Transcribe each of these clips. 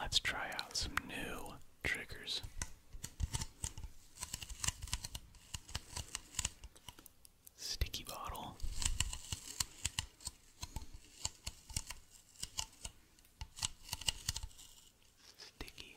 Let's try out some new triggers. Sticky bottle. Sticky.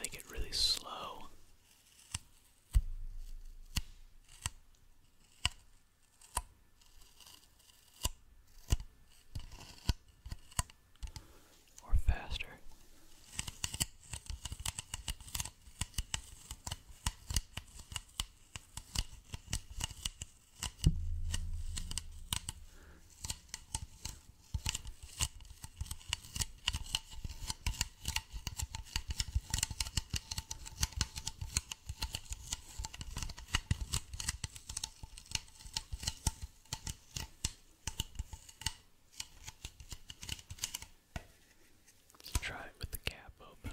They get really slow or faster. Let's try it with the cap open.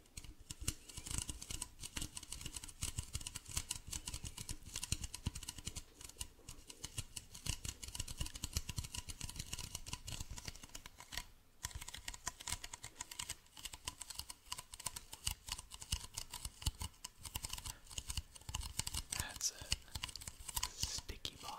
That's a sticky bottle.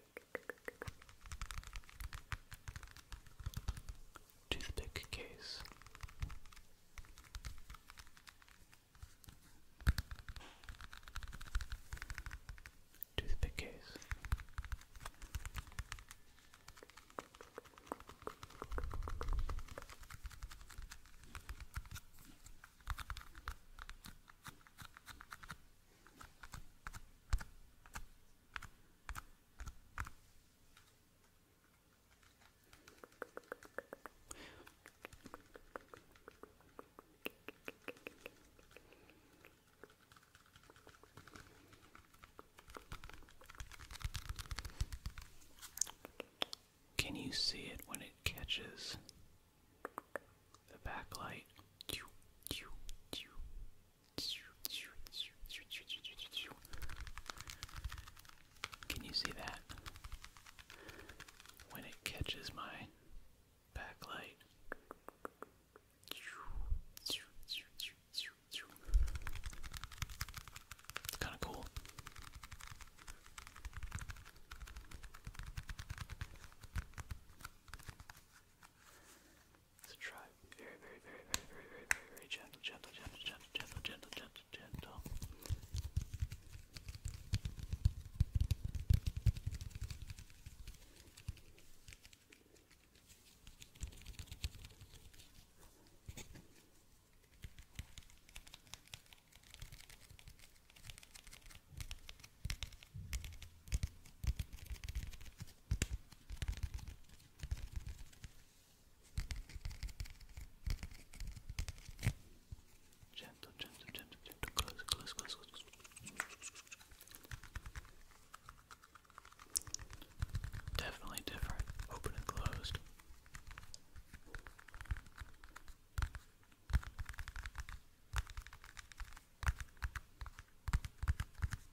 Toothpick case. Toothpick case. Toothpick can you see it when it catches the backlight? Can you see that? When it catches my backlight. It's kind of cool. So try very, very, very, very, very, very, very, very gentle, gentle, gentle, gentle, gentle, gentle, gentle, gentle. Good. Gentle, gentle, gentle, gentle, close, close, close, close. Definitely different. Open and closed.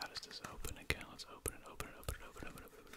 How does this open again? Let's open it, open it, open it, open it, open it, open it.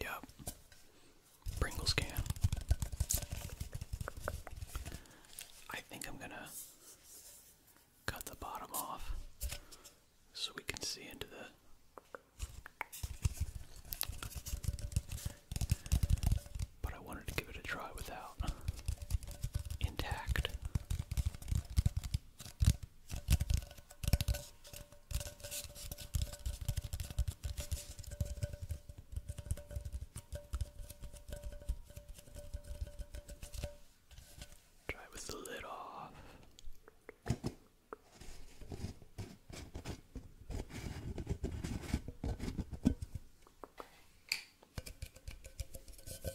Yep. Pringles can. I think I'm gonna cut the bottom off so we can see into the. But I wanted to give it a try without intact. Try with the lid off. Okay.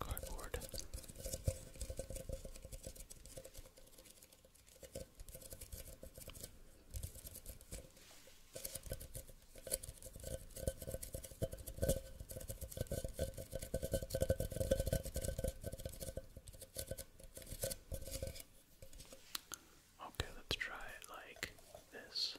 cardboard. Okay, let's try it like this.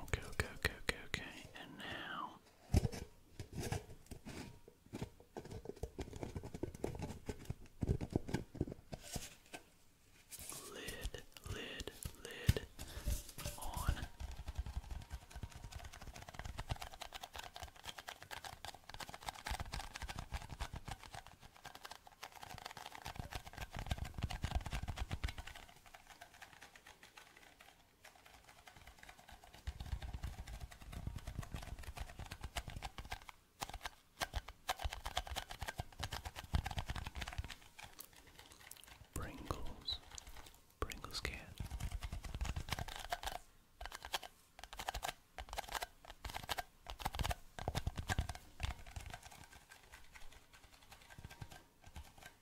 Okay, okay, okay, okay, okay. And now now. Lid, lid, lid on. Pringles, Pringles can.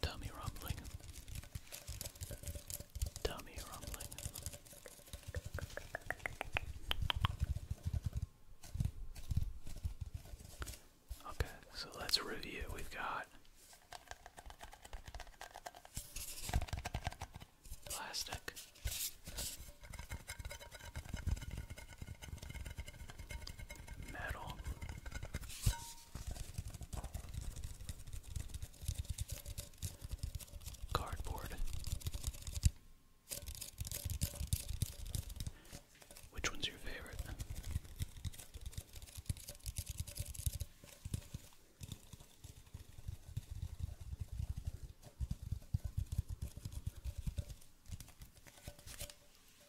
Tummy rumbling. Tummy rumbling. Okay, so let's review. We've got plastic. Metal. Cardboard. Which one's your favorite?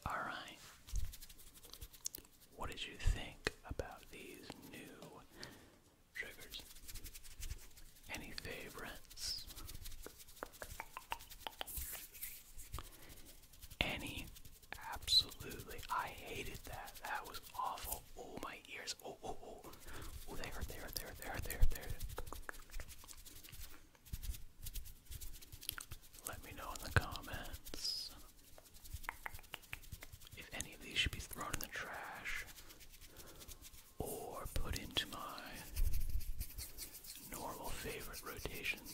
All right. What did you think about these new triggers? Any favorites? Any? Absolutely. I hated that. That was awful. Oh, my ears Oh, oh, oh. Oh, they are, they are, they Let me know in the comments if any of these should be thrown in the trash or put into my normal favorite rotations.